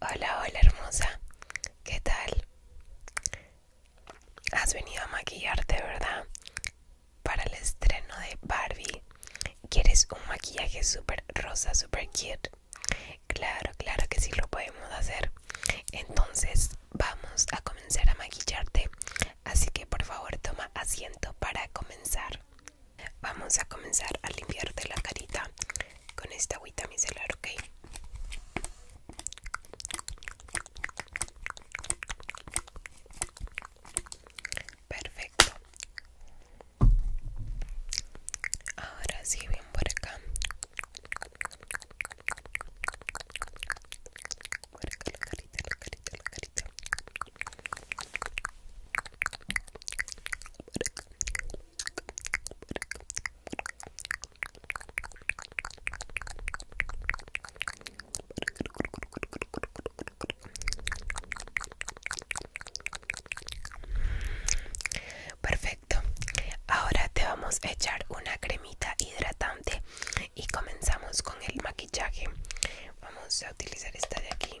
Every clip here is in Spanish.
Hola, hola hermosa, ¿qué tal? Has venido a maquillarte, ¿verdad? Para el estreno de Barbie. ¿Quieres un maquillaje súper rosa, súper cute? Claro, claro que sí lo podemos hacer. Entonces vamos a comenzar a maquillarte. Así que por favor toma asiento para comenzar. Vamos a comenzar a limpiarte la carita con esta agüita micelar, ¿ok? Perfecto. Ahora sí, bien por acá. Por acá la carita, la carita, la carita. Por acá. Perfecto, ahora te vamos a echar una cremita hidratante y comenzamos con el maquillaje. Vamos a utilizar esta de aquí.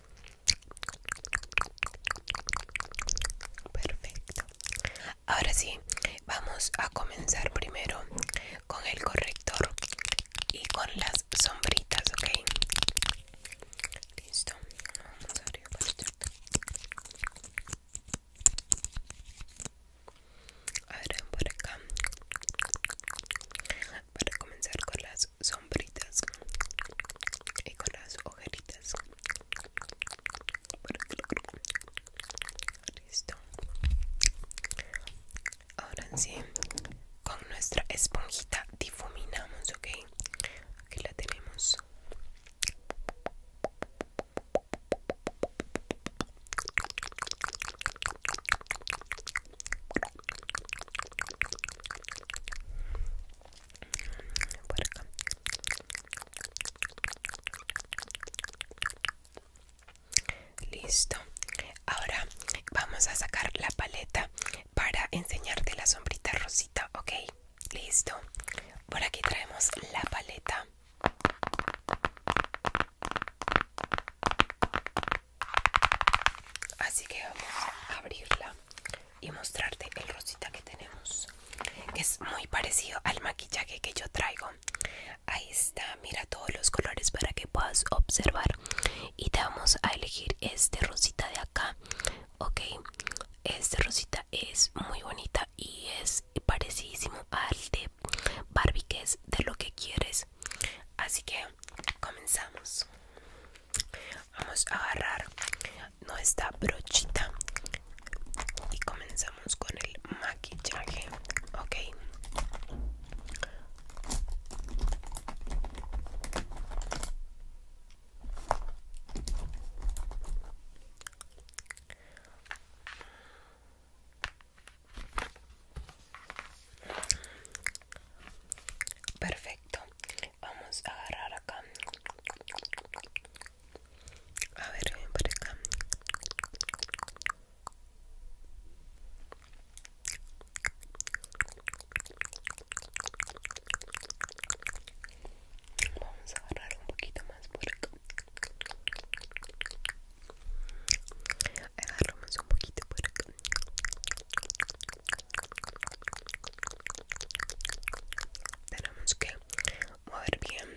Perfecto. Ahora sí, vamos a comenzar primero con el corrector y con las sombritas, ¿ok? Listo. Vamos a abrir ver, por acá. Para comenzar con las sombritas y con las ojeritas listo ahora sí con nuestra esponjita difuminamos ok aquí la tenemos Listo. Ahora vamos a sacar la paleta para enseñarte la sombrita rosita, ¿ok? Listo. Por aquí traemos la paleta. Así que vamos a abrirla y mostrarte el rosita que tenemos. Que es muy parecido al maquillaje que yo traigo. Ahí está, mira todos los colores para que puedas observar. Y te vamos a elegir este rosita de acá. Ok, este rosita es muy bonita y es parecidísimo al de Barbie, que es de lo que quieres. Así que comenzamos vamos a agarrar nuestra brochita y comenzamos con el maquillaje ok Perfecto. Vamos a agarrar acá. A ver, por acá. Vamos a agarrar un poquito más por acá. Agarramos un poquito por acá. Tenemos que mover bien,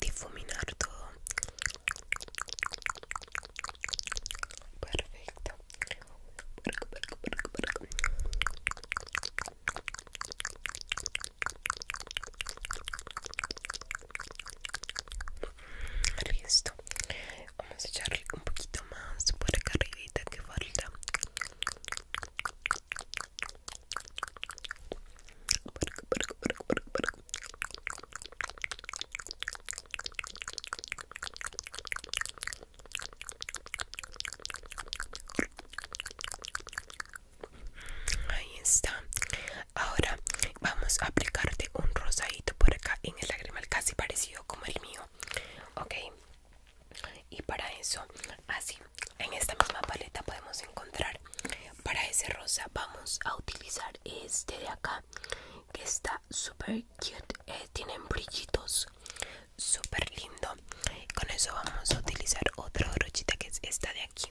difuminar todo. Perfecto listo vamos a echarle un poquito más por acá arribita que falta por acá, por acá, por acá, acá, acá. Ahí está. Ahora vamos a aplicarte un rosadito por acá en el lagrimal, casi parecido como el mío. Ok. Y para eso, así, en esta misma paleta podemos encontrar. Para ese rosa vamos a utilizar este de acá, que está super cute. Eh, tienen brillitos, super lindo. Con eso vamos a utilizar otra brochita que es esta de aquí.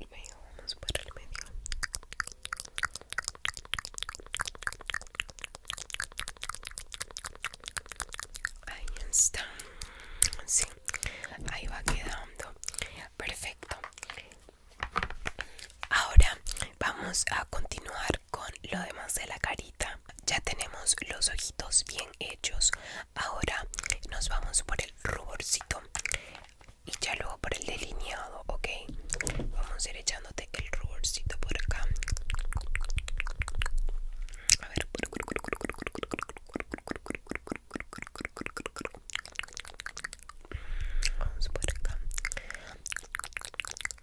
el medio ahí está sí, ahí va quedando perfecto ahora vamos a continuar con lo demás de la carita. Ya tenemos los ojitos bien hechos. Ahora nos vamos por el ruborcito y ya luego por el delineado, ¿ok? Vamos a ir echándote el ruborcito por acá. Vamos por acá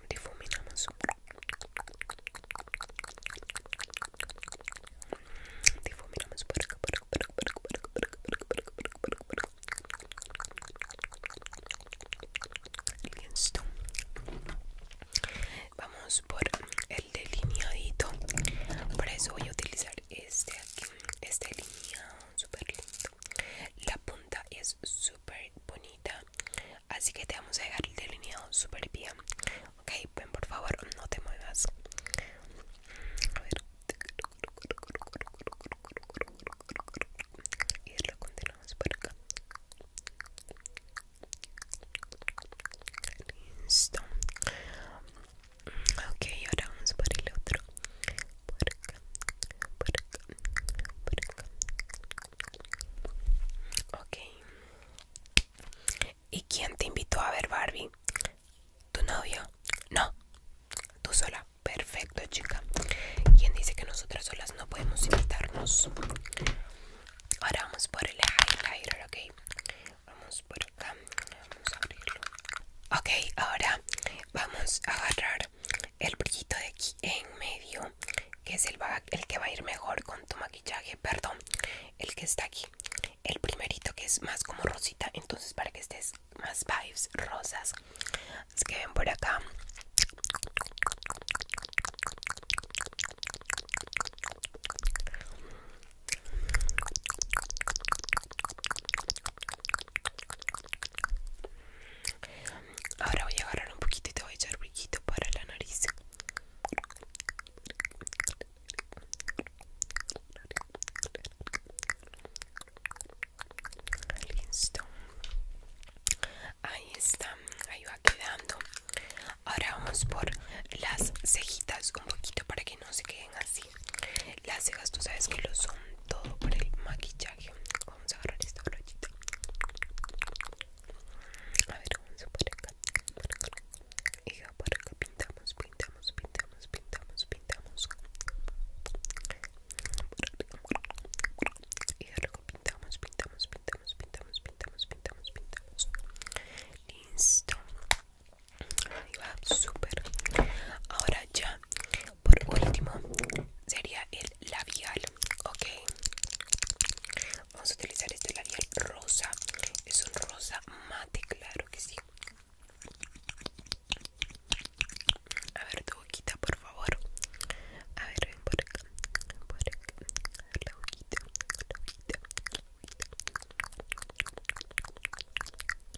difuminamos difuminamos por acá por acá por Vamos por el delineadito. Por eso voy a utilizar este aquí. Este delineado super lindo. La punta es súper bonita así que te vamos a dejar el delineado super bien ok ven por favor no te muevas a ver y lo continuamos por acá listo ok ahora vamos por el otro por acá por acá por acá Ok. ¿Y quién te invitó a ver Barbie? ¿Tu novio? No. Tú sola. Perfecto, chica. ¿Quién dice que nosotras solas no podemos invitarnos? Ahora vamos por el highlighter, ok. Vamos por acá. Vamos a abrirlo. Ok, ahora vamos a agarrar el brillito de aquí en medio que es el, el que va a ir mejor con tu maquillaje perdón el que está aquí el primerito que es más como rosita entonces para que estés más vibes rosas es que ven por acá Ahora voy a agarrar un poquito y te voy a echar poquito para la nariz. Listo. Ahí está, ahí va quedando. Ahora vamos por las cejitas un poquito para que no se queden así las cejas, tú sabes que lo son todo por el maquillaje. Vamos a agarrar esta brochita. A ver, vamos a por acá. Por Y por acá pintamos, pintamos, pintamos, pintamos, pintamos. Y luego pintamos, pintamos, pintamos, pintamos, pintamos, pintamos, pintamos. Listo. Ahí va, súper. Ahora ya por último, sería el labial, ok. Vamos a utilizar este labial rosa. Es un rosa mate, claro que sí. A ver tu boquita, por favor. A ver, por acá. Por acá. La boquita. La boquita.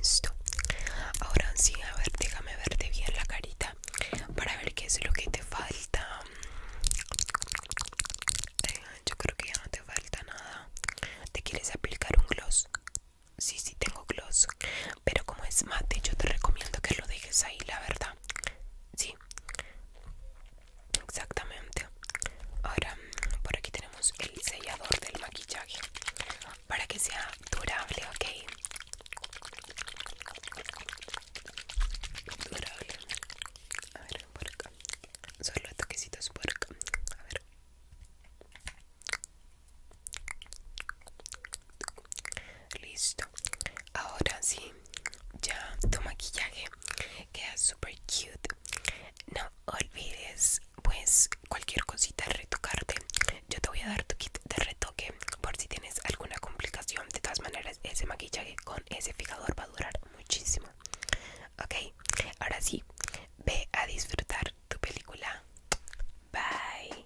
Listo. Ahora sí, a ver, déjame verte bien la carita para ver qué es lo que te falta. Eh, yo creo que ya no te falta nada. ¿Te quieres aplicar un gloss? Sí, sí tengo gloss, pero como es mate, yo te recomiendo que lo dejes ahí, la verdad. Sí, exactamente ahora por aquí tenemos el sellador del maquillaje para que sea durable ok durable a ver por acá solo toquecitos por acá a ver listo ahora sí ya tu maquillaje queda super cute no olvides pues cualquier cosita retocarte yo te voy a dar tu kit de retoque por si tienes alguna complicación de todas maneras ese maquillaje con ese fijador va a durar muchísimo ok ahora sí ve a disfrutar tu película bye